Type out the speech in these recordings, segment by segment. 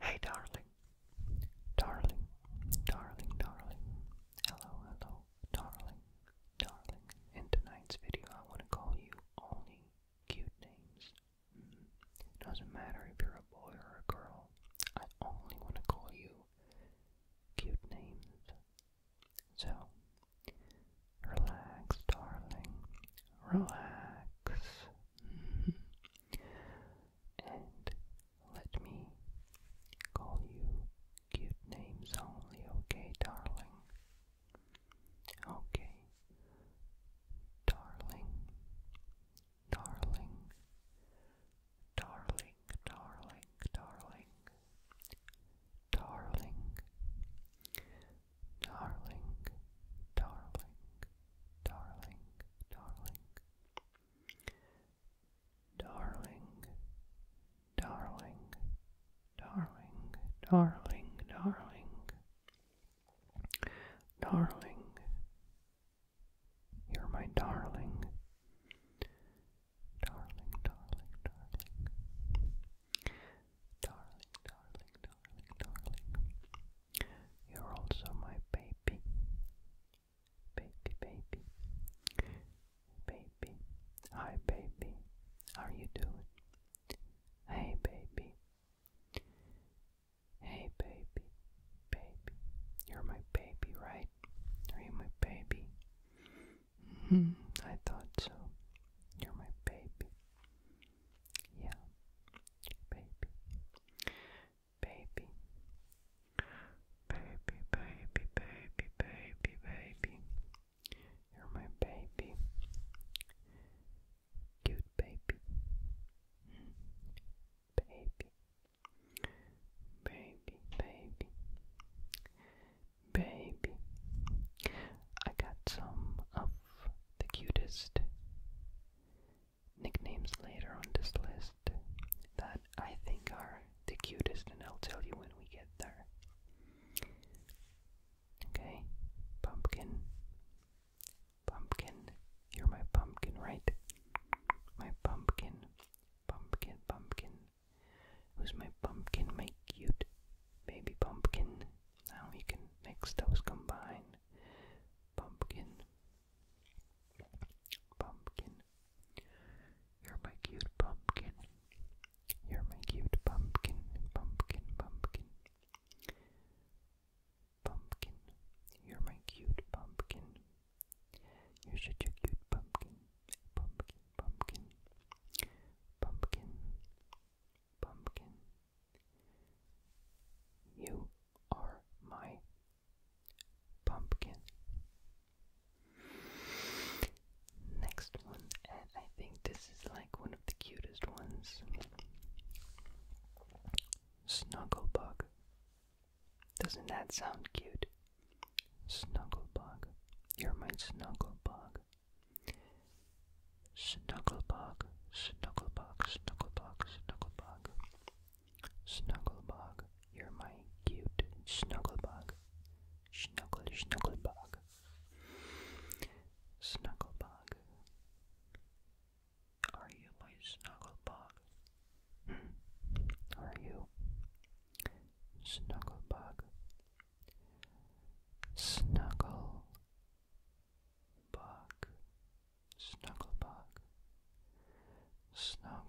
Hey darling, darling, darling, darling, hello, hello, darling, darling. In tonight's video I want to call you only cute names. Mm. Doesn't matter if you're a boy or a girl, I only want to call you cute names. So, relax darling, relax. and let me call you cute names only, okay, darling? Okay, darling, darling, darling, darling, darling, darling, darling, darling darling, darling, darling, darling, darling, darling, darling, darling, you're my darling. Darling, darling, darling. Darling, darling, darling, darling. You're also my baby. Baby, baby. Baby. Hi, baby. How are you doing? Hey, baby. Hey, baby. Baby. You're my baby, right? Are you my baby? hmm. I thought so. You're my baby. Yeah. Baby baby, baby, baby, baby, baby, baby. You're my baby, cute baby, baby, baby, baby, baby. I got some of the cutest nicknames later on this list that I think are the cutest, and I'll tell you when we get there. Okay, pumpkin. Pumpkin, you're my pumpkin, right? My pumpkin, pumpkin, pumpkin. Who's my pumpkin, my cute baby pumpkin? Now we can mix those combine. Pumpkin, Pumpkin. You're my cute pumpkin. You're my cute pumpkin. Pumpkin, pumpkin. Pumpkin. You're my cute pumpkin. You're such a cute pumpkin. Pumpkin, pumpkin. Pumpkin. Pumpkin. You are my pumpkin. Next one, and I think this is like one of the cutest ones. Snugglebug. Doesn't that sound cute? Snugglebug. You're my snugglebug. Snugglebug, snugglebug, snugglebug, snugglebug. Snugglebug, you're my cute snugglebug. Snuggle, snugglebug. Snugglebug. Are you my snugglebug? Hmm. Are you? Snugglebug. Snuggle snuggle bug, snuggle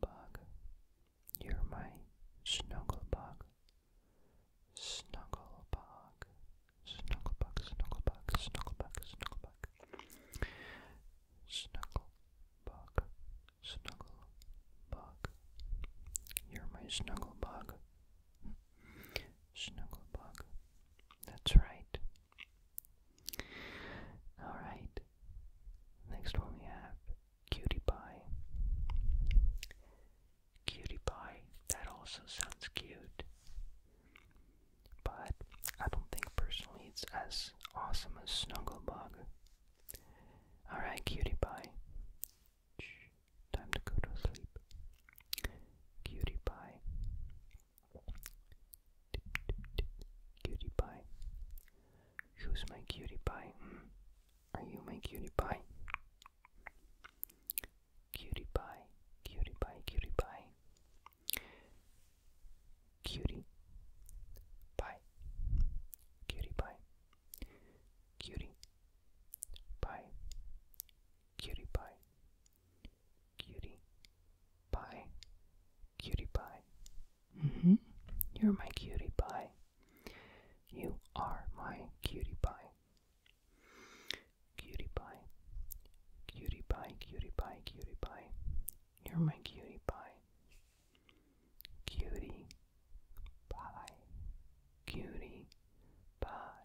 bug, You're my snuggle bug, snuggle bug, snuggle bug, snuggle bug, snuggle snuggle bug, snuggle bug, snuggle bug. You're my snuggle bug. Snugglebug. That's right. Alright. Next one we have Cutie Pie. Cutie Pie. That also sounds cute. But I don't think personally it's as awesome as Snugglebug. Alright, Cutie Pie. Time to go to sleep. Cutie pie. Cutie pie. Who's my cutie pie? Mm. Are you my cutie pie? Cutie pie, cutie pie, cutie pie. Cutie pie, cutie pie, cutie pie, cutie pie, Cutie pie. Cutie pie. hmm You're my cutie pie. You are my cutie pie. Cutie pie. Cutie pie, cutie pie, cutie pie. You're my cutie pie. Cutie pie. Cutie pie.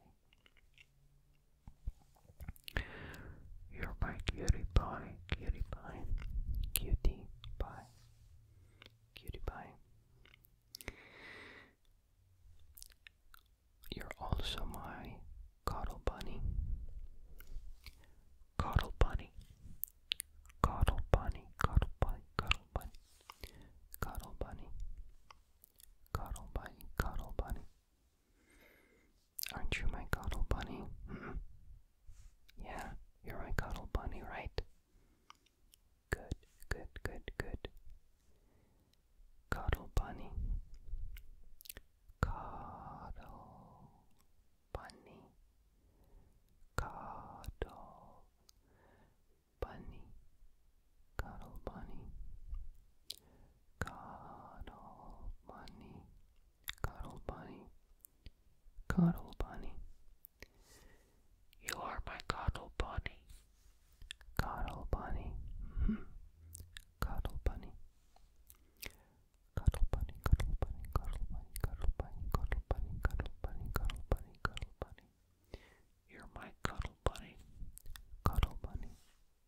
You're my cutie pie, cutie pie, cutie pie, cutie pie. You're also my cuddle bunny, cuddle bunny, cuddle bunny, cuddle bunny, cuddle bunny, cuddle bunny, cuddle bunny, cuddle bunny, Aren't you my cuddle bunny? Hmm? Yeah, you're my cuddle bunny, right? Good, good, good, good. Cuddle bunny. Cuddle bunny. Cuddle bunny cuddle bunny, cuddle bunny, cuddle bunny, cuddle bunny. You are my cuddle bunny, cuddle bunny, mm-hmm. cuddle bunny. Cuddle bunny, cuddle bunny, cuddle bunny, cuddle bunny, cuddle bunny, cuddle bunny, cuddle bunny, cuddle bunny. You're my cuddle bunny, cuddle bunny,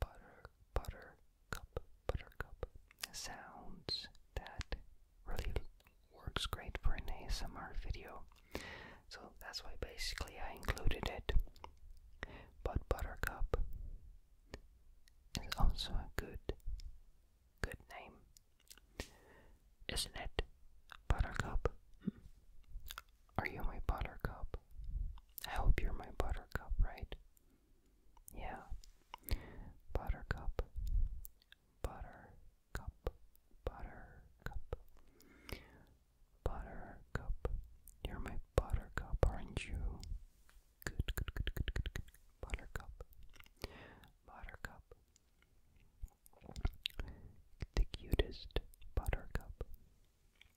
butter, butter, cup, buttercup sounds that really works great for an ASMR video. So that's why basically I included it. But buttercup is also a good good name. Isn't it? Buttercup. Hmm. Are you my buttercup? I hope you're my buttercup, right? Yeah. Buttercup. Buttercup. Buttercup. Buttercup. You're my buttercup, aren't you? Good, good, good, good, good, good. Buttercup. Buttercup. The cutest buttercup.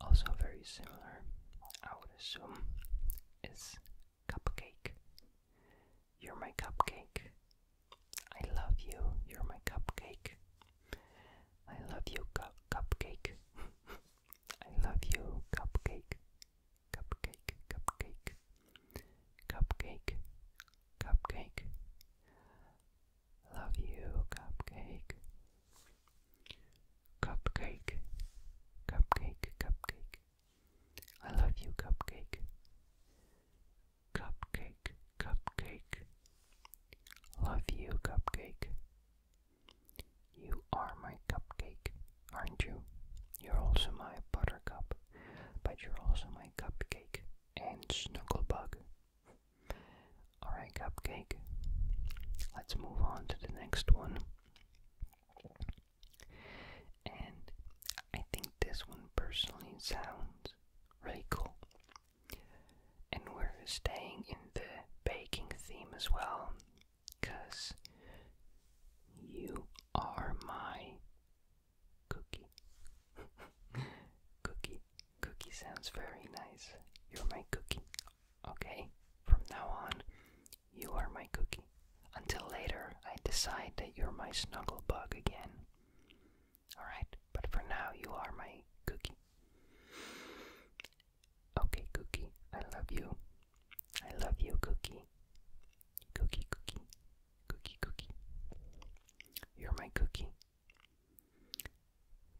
also very similar, I would assume, is cupcake. You're my cupcake. I love you. You're my cupcake. I love you, cu cupcake. I love you, cupcake. Cupcake, cupcake. Cupcake, cupcake. Love you, cupcake. Cupcake, cupcake, cupcake. I love you, cupcake. Cupcake, cupcake. Love you, cupcake. You are my cupcake, aren't you? You're also my buttercup, but you're also my cupcake and snugglebug. Alright, Cupcake. Let's move on to the next one. And I think this one personally sounds really cool. And we're staying in the baking theme as well, because you are my cookie. cookie. Cookie sounds very nice. You're my cookie. Okay, from now on, you are my cookie. Until later, I decide that you're my snuggle bug again. Alright, but for now, you are my cookie. Okay, cookie, I love you. I love you, cookie. Cookie, cookie, cookie, cookie. You're my cookie.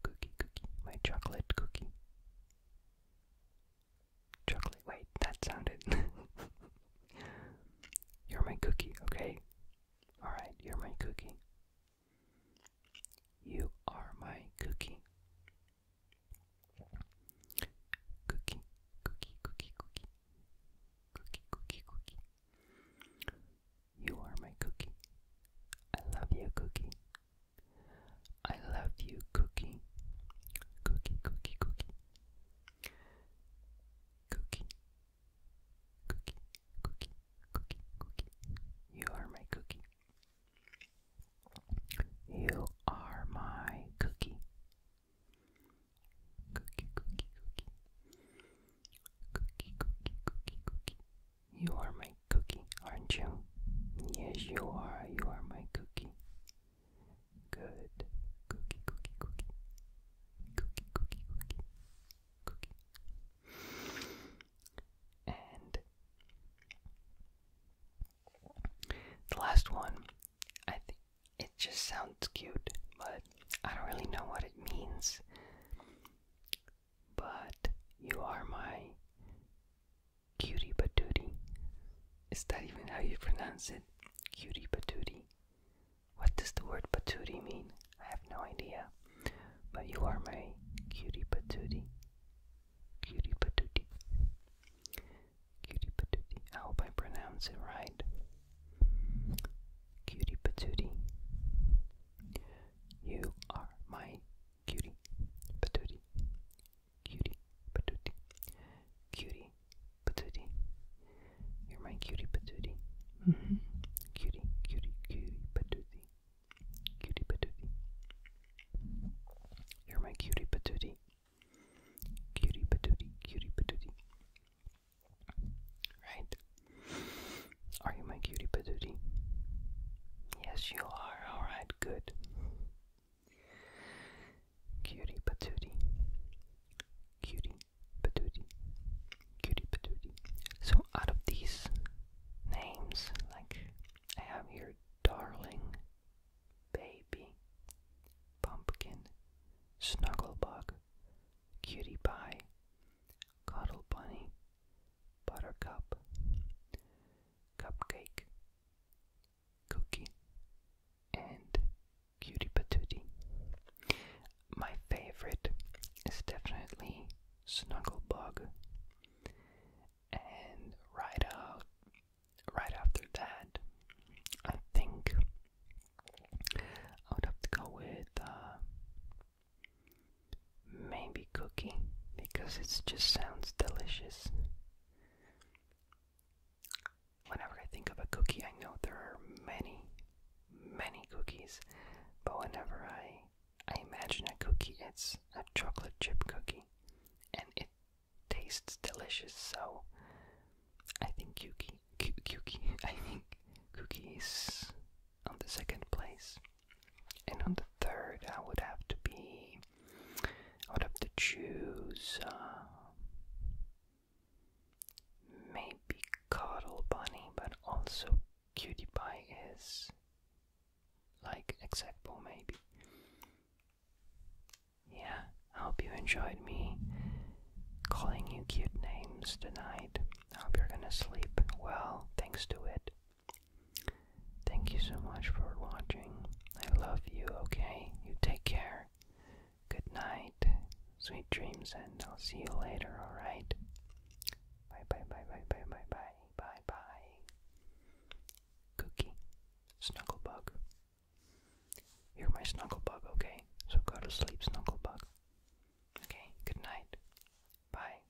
Cookie, cookie, my chocolate cookie. Chocolate, wait, that sounded. you're my cookie, okay? Alright, you're my cookie. You are my cookie. Cookie, cookie, cookie, cookie. Cookie, cookie, cookie. You are my cookie. I love you, cookie. I love you, cookie. Cookie, cookie, cookie. Cookie. Cookie, cookie, cookie, cookie. You are my cookie. You are my cookie. Cookie, cookie, cookie. Cookie, cookie, cookie, cookie. You are my cookie, aren't you? Yes, you are. You are my cookie. Good. Cookie, cookie, cookie. Cookie, cookie, cookie. Cookie. And the last one, I think it just sounds cute, but I don't really know what it means but you are my cutie patootie. Is that even how you pronounce it? Cutie patootie. What does the word patootie mean? I have no idea. But you are my cutie patootie. Cutie patootie. Cutie patootie. I hope I pronounce it right. Cutie patootie. You are my Cutie, patootie. Cutie, patootie. Cutie, patootie. You're my cutie patootie. Mm -hmm. Cutie, cutie, cutie patootie. Cutie patootie. You're my cutie patootie. Cutie patootie, cutie patootie. Right? Are you my cutie patootie? Yes, you are. Alright, good. Cutie patootie. Cutie patootie. Cutie patootie. So, out of these names, like I have here darling, baby, pumpkin, snugglebug, cutie pie, cuddle bunny, buttercup, cupcake, cookie, and cutie patootie. My favorite is definitely Snugglebug, and right out, right after that, I think I would have to go with uh, Maybe cookie, because it just sounds delicious. Whenever I think of a cookie, I know there are many, many cookies, but whenever I I imagine a cookie, it's a chocolate chip cookie, and it tastes delicious. So I think cookie, cookie, I think cookie on the second place. And on the third, I would have to be, I would have to choose um, maybe Cuddle Bunny, but also Cutie Pie is like acceptable, maybe. Yeah, I hope you enjoyed me calling you cute names tonight. I hope you're gonna sleep well thanks to it. Thank you so much for watching. I love you, okay? You take care. Good night. Sweet dreams, and I'll see you later, alright? Bye bye bye bye bye bye bye bye bye. Cookie, Snugglebug. You're my Snugglebug, okay? So go to sleep, Snugglebug. Okay, good night. Bye.